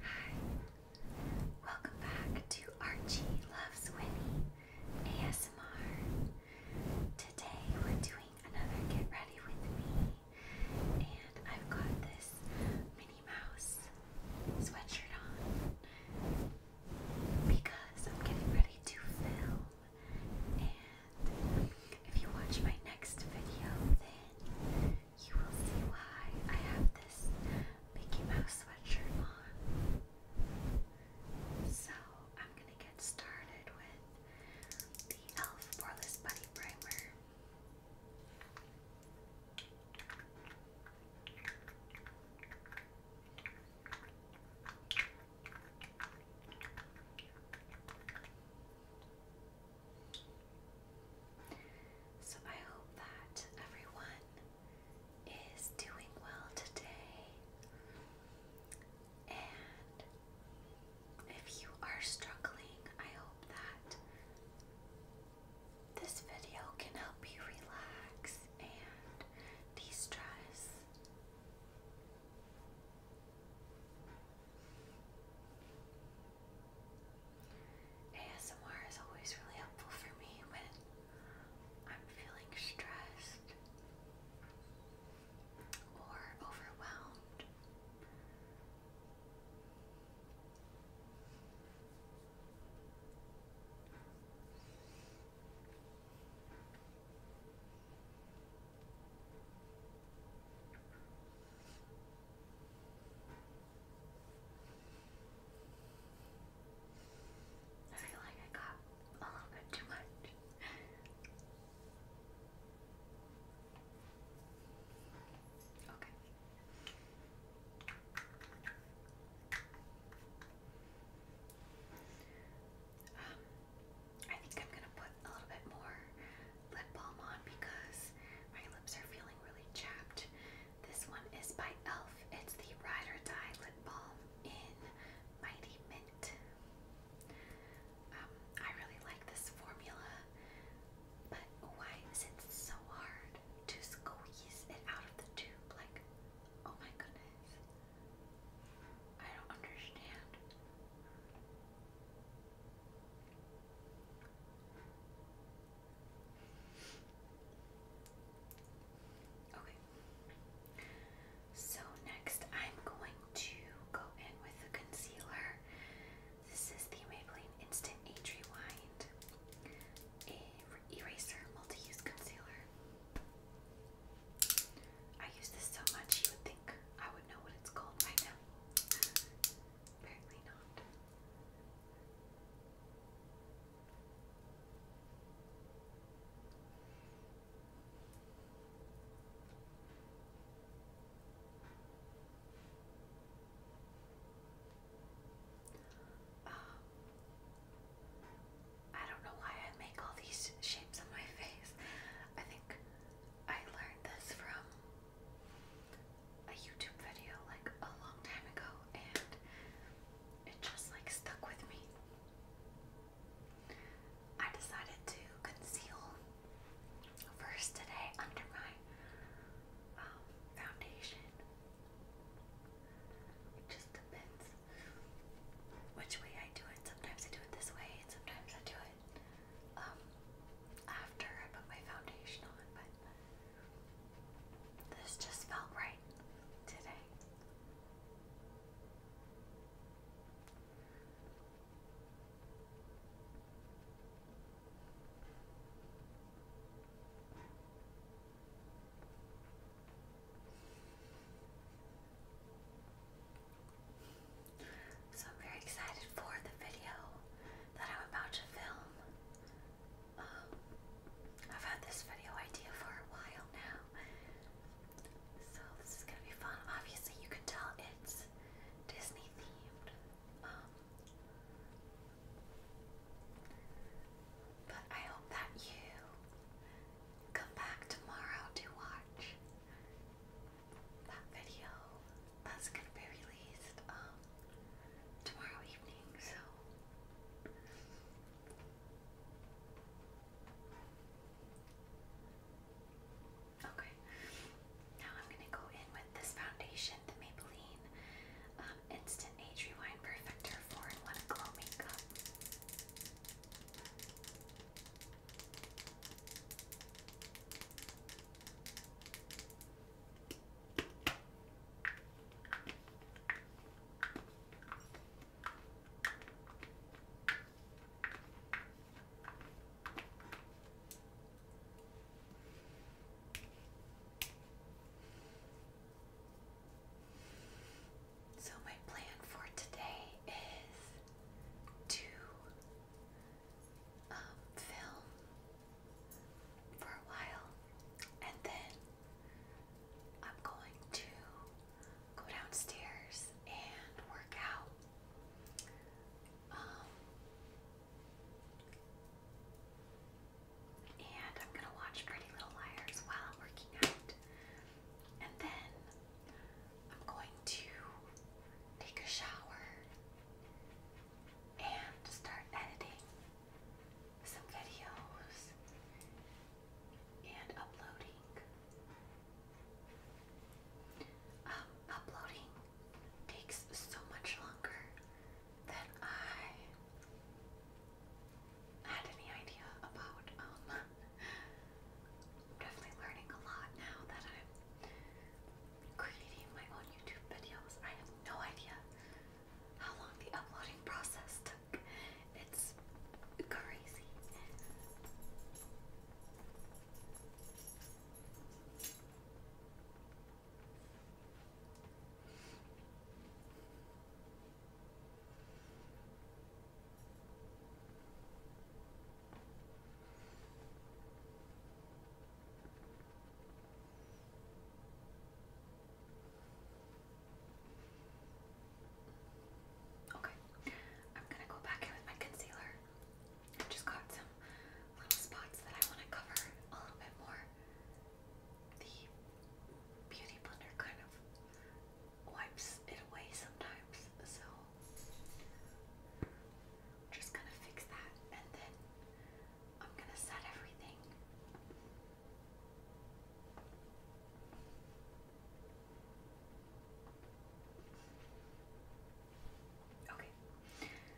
Hi, welcome back to Archie Loves Winnie ASMR. Today we're doing another Get Ready With Me, and I've got this Minnie Mouse sweatshirt on because I'm getting ready to film. And if you watch my next video, then you will see why I have this Mickey Mouse sweatshirt on. So I'm gonna get started with the e.l.f. Poreless Buddy Primer. So I hope that everyone is doing well today. And if you are struggling, I hope that this video can help you relax and de stress. ASMR is always really helpful for me when I'm feeling stressed or overwhelmed. I feel like I got a little bit too much. Okay. Um, I think I'm gonna put a little bit more lip balm on because my lips are feeling really chapped. This one is by e.l.f. It's the Ride or Die Lip Balm in Mighty Mint. Um, I really like this formula, but why is it so hard? to squeeze it out of the tube. Like, oh my goodness. I don't understand. Okay. So next I'm going to go in with the concealer. This is the Maybelline Instant Age Rewind a Eraser Multi-Use Concealer. I use this so much you would think I would know what it's called by now. Apparently not. I don't know why I make all these shapes on my face. I think I learned this from a YouTube video like a long time ago and it just like stuck with me. I decided to conceal first today under my um, foundation just depends which way I do it. Sometimes I do it this way, and sometimes I do it um, after I put my foundation on. But this just felt right today. So I'm very excited for the video that I'm about to film. Um, I've had this video idea for a while now, so this is gonna be fun. Obviously, you can tell it's Disney themed. Um, but I hope that you come back tomorrow to watch that video that's going to be released um, tomorrow evening, so. Okay, now I'm going to go in with this foundation, the Maybelline um, Instant Age Rewind Perfector 4 in 1 Glow Makeup. So, my plan for today is to um, film for a while and then I'm going to go downstairs and work out. Um, and I'm gonna watch Pretty Little Liars while I'm working out. And then I'm going to take a shower and start editing some videos and uploading. Um, uploading takes so much longer that I had any idea about. I'm um, definitely learning a lot now that I'm creating my own YouTube videos. I have no idea how long the uploading process took. It's crazy. Okay, I'm gonna go back in with my concealer. i just got some little spots that I want to cover a little bit more the beauty blender kind of wipes it away sometimes, so I'm just gonna fix that and then I'm gonna set everything. Okay,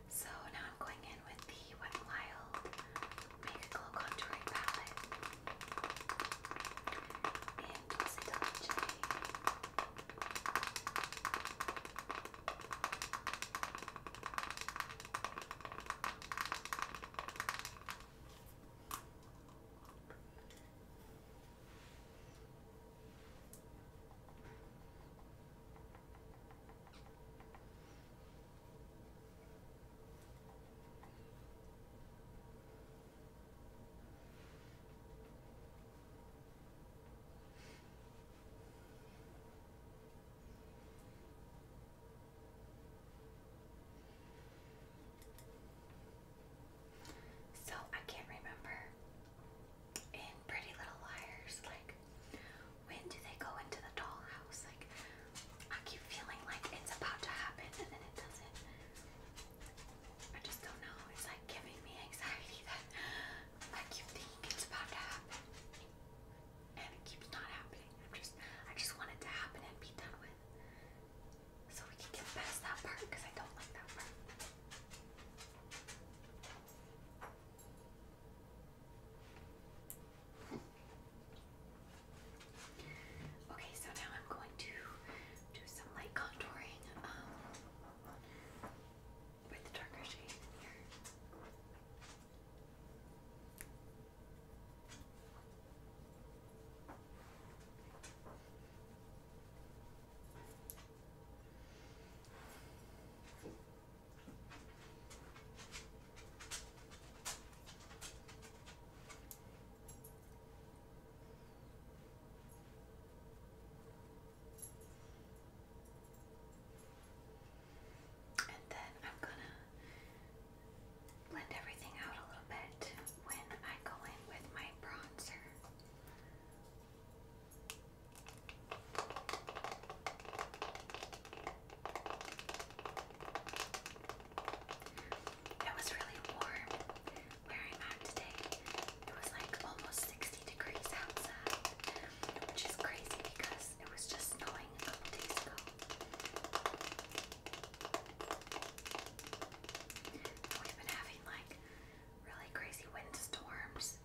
so now I'm going in with the Fenty Wet Wild Make Glow Contouring Palette in Dulce Dolce. So I can't remember in Pretty Little Liars, like when do they go into the dollhouse? I keep feeling like it's about to happen and then it doesn't. I just don't know. It's like giving me anxiety that I keep thinking it's about to happen and it keeps not happening. I'm just I just want it to happen and be done with. So we can get past that part because I don't like that part. Okay, so now I'm going to do some light contouring um, with the darker shade here. And then I'm gonna blend everything out a little bit when I go in with my bronzer. It was really warm where i today. It was like almost 60 degrees outside, which is crazy because it was just snowing a couple days ago. We've been having like really crazy windstorms.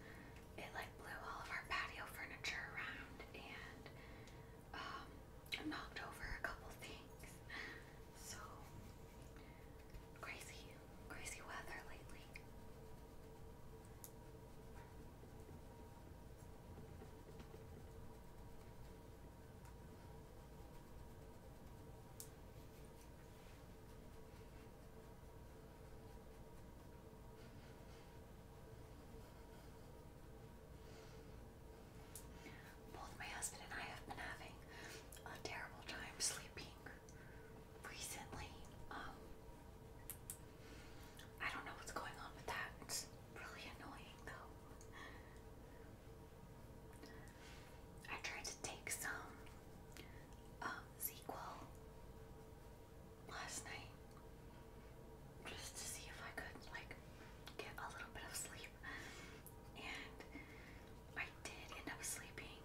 It like blew all of our patio furniture around and um, knocked over a couple things. So crazy, crazy weather lately. Both my husband and I have been having a terrible time sleeping recently. Um, I don't know what's going on with that. really annoying though. I tried to take some um, last night just to see if I could like get a little bit of sleep. And I did end up sleeping.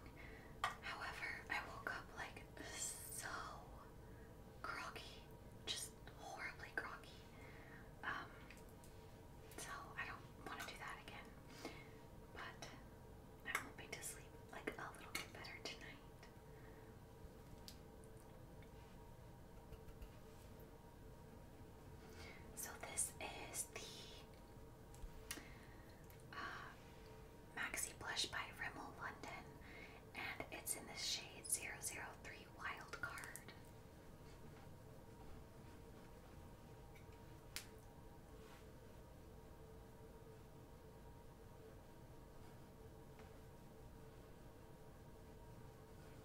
However, I woke up like so groggy, just horribly groggy. Um so I don't want to do that again. But I'm hoping to sleep like a little bit better tonight. So this is the uh, Maxi Blush by Rimmel London, and it's in the shade 003 Wild Card.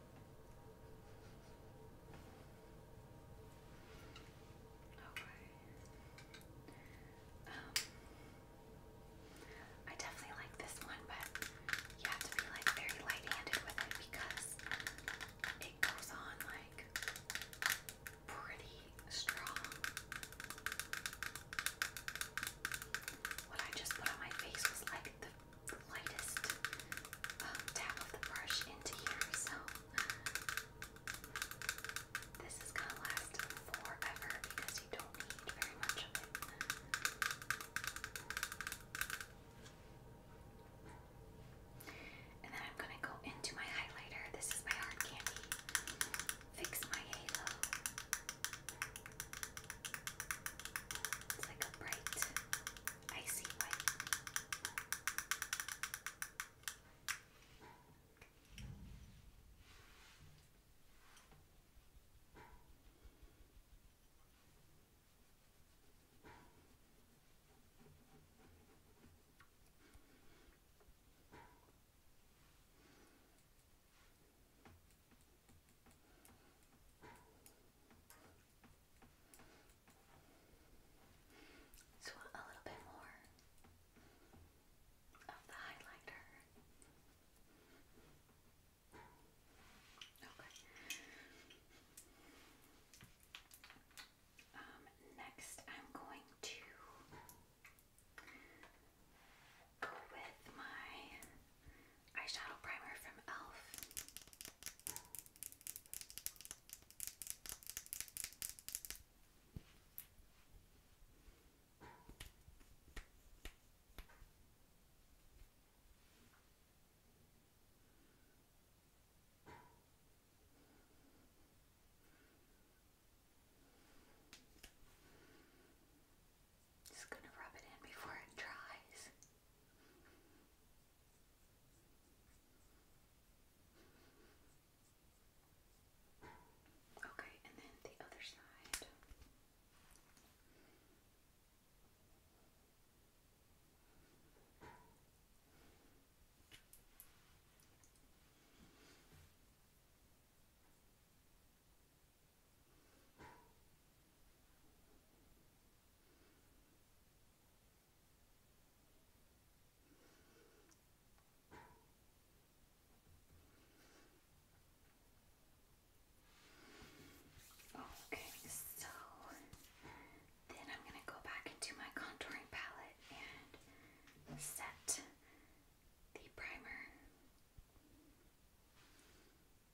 Okay. Um, I definitely like this one, but you have to be like very light-handed with it because it goes on like pretty strong. What I just put on my face was like the lightest um, tap of the brush into here, so this is gonna last forever because you don't need very much of it. And then I'm gonna go into my highlighter. This is my hard candy. Fix my halo. It's like a bright, icy white. So a little bit more of the highlighter. Okay. Um, next, I'm going to go with my eyeshadow primer from e.l.f. Just gonna rub it in before it dries. Okay, and then the other side. Okay, so then I'm going to go back into my contouring palette and set the primer.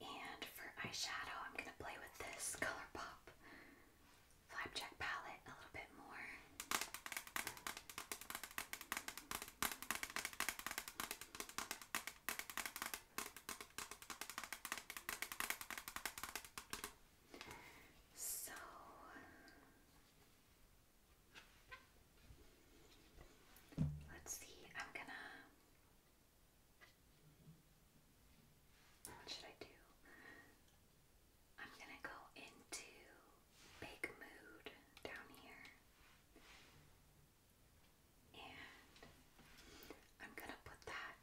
And for eyeshadow, I'm going to play with this ColourPop Flapjack palette a little bit more. So, Let's see, I'm gonna. What should I do? I'm gonna go into Big Mood down here. And I'm gonna put that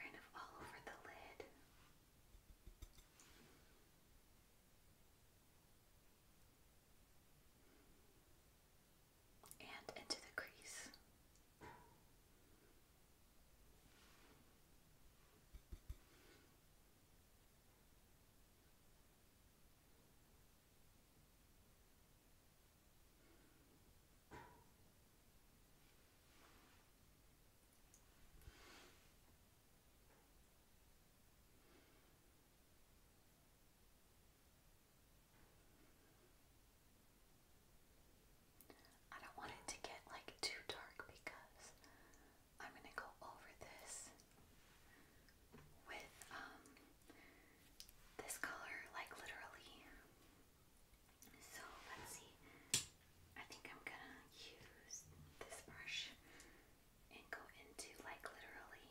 kind of all over the lid and into the crease. I don't want it to get like too dark because I'm gonna go over this with um this color like literally. So let's see. I think I'm gonna use this brush and go into like literally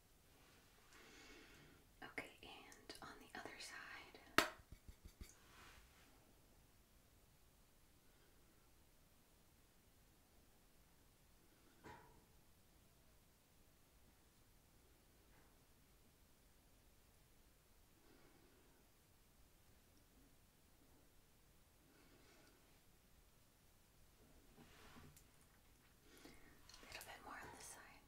Okay, and on the other side. A little bit more on this side.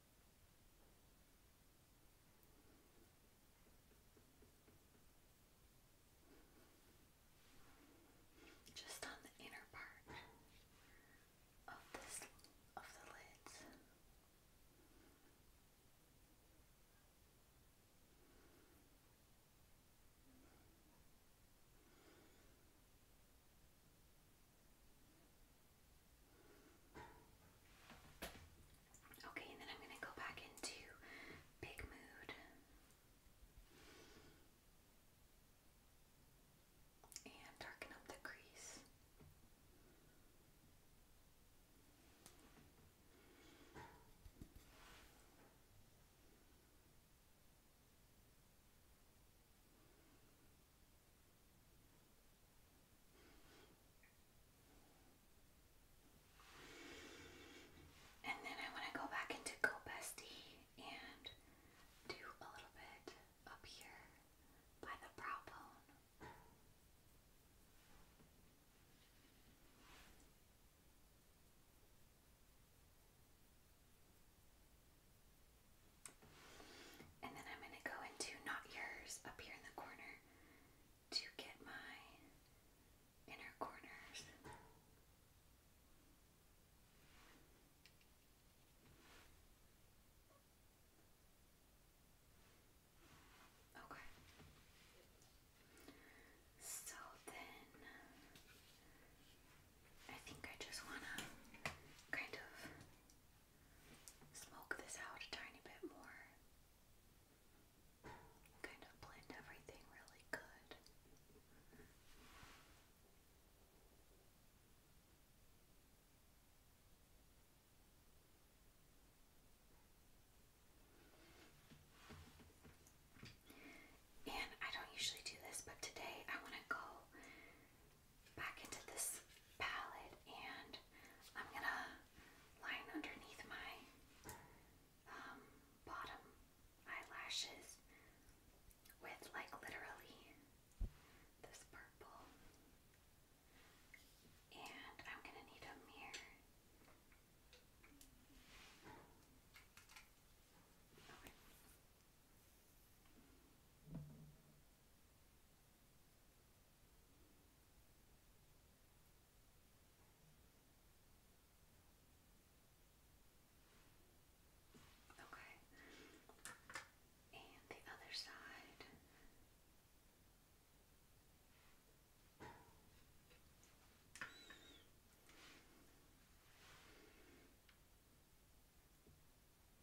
Just on the inner part of this of the lids. Okay, and then I'm going to go back into big mood. And darken up the crease. And then I want to go back into Go Bestie and do a little bit up here by the brow bone. And then I'm going to go into Not Yours up here in the corner to get my inner corners. Okay. So then I think I just want to kind of smoke this out a tiny bit more. Kind of blend everything really good. And I don't usually do this, but today I want to go back into this palette and I'm gonna line underneath my um, bottom eyelashes with like literally this purple. And I'm gonna need a mirror. Okay. And the other side.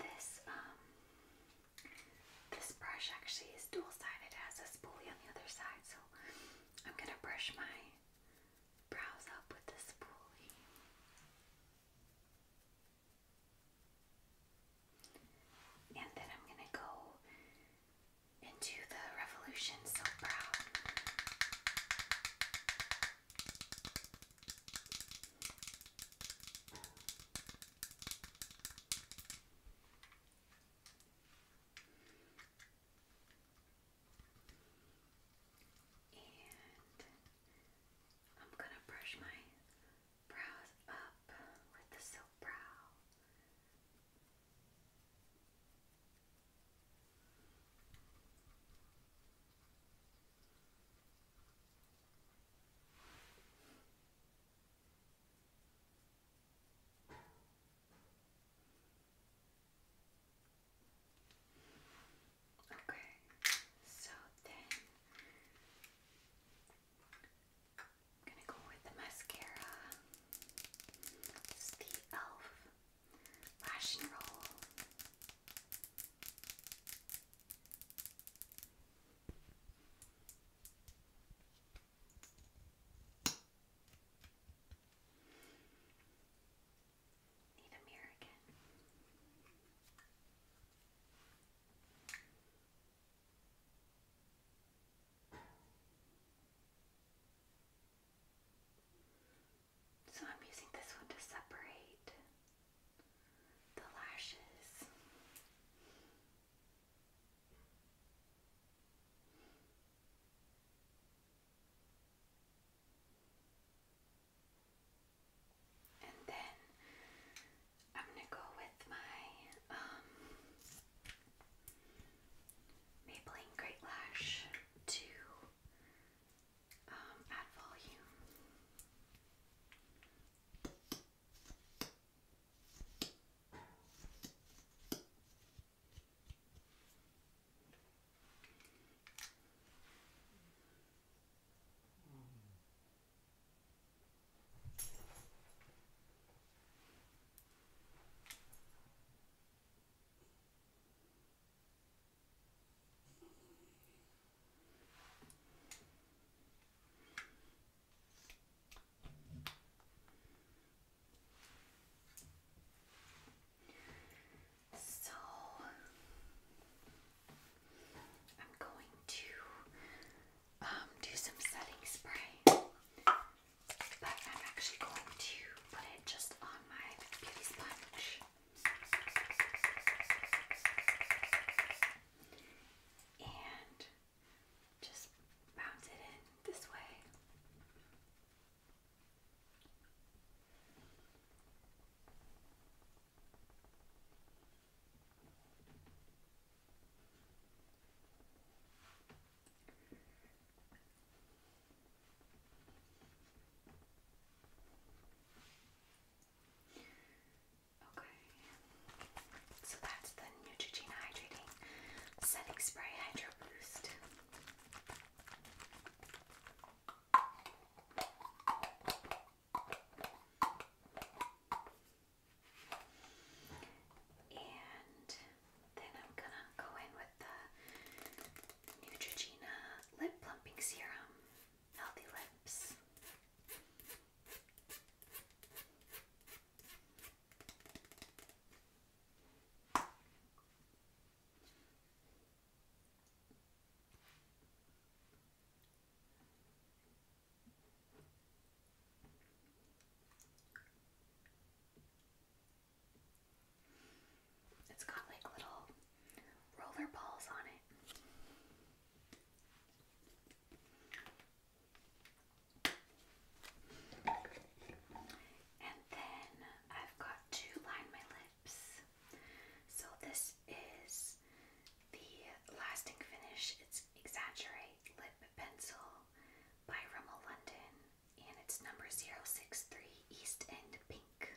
this um this brush actually is dual sided. It has a spoolie on the other side, so I'm gonna brush my brows up with the spoolie. And then I'm gonna go into the Revolution Silk Brow. And I'm going to brush my brows up with the silk brow. Okay. Okay, so then I'm gonna go with the mascara. This the e.l.f. Lash Roll. Need a mirror again. So I'm using this one to separate the lashes. And then I'm gonna go with my um, Maybelline Great Lash to um, add volume. So I'm going to um, do some setting spray, but I'm actually going to put it just on my beauty sponge and just bounce it in this way. Okay, so that's the Neutrogena Hydrating Setting Spray Hydro Boost. And then I'm gonna go in with the Neutrogena Lip Plumping Serum healthy lips. It's got like little roller balls on it. And then I've got to line my lips. So this is the lasting finish. It's Exaggerate Lip Pencil by Rimmel London and it's number 063 East End Pink.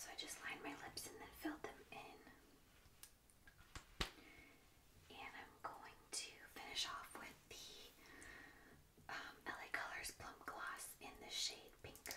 So I just lined my lips and then filled them in. And I'm going to finish off with the um, LA Colors Plum Gloss in the shade Pinker.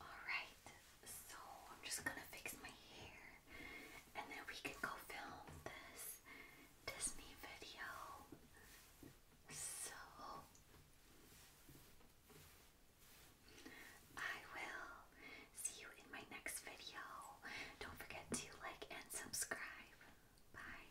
Alright, so I'm just gonna fix my hair and then we can go film this Disney video. So I will see you in my next video. Don't forget to like and subscribe. Bye.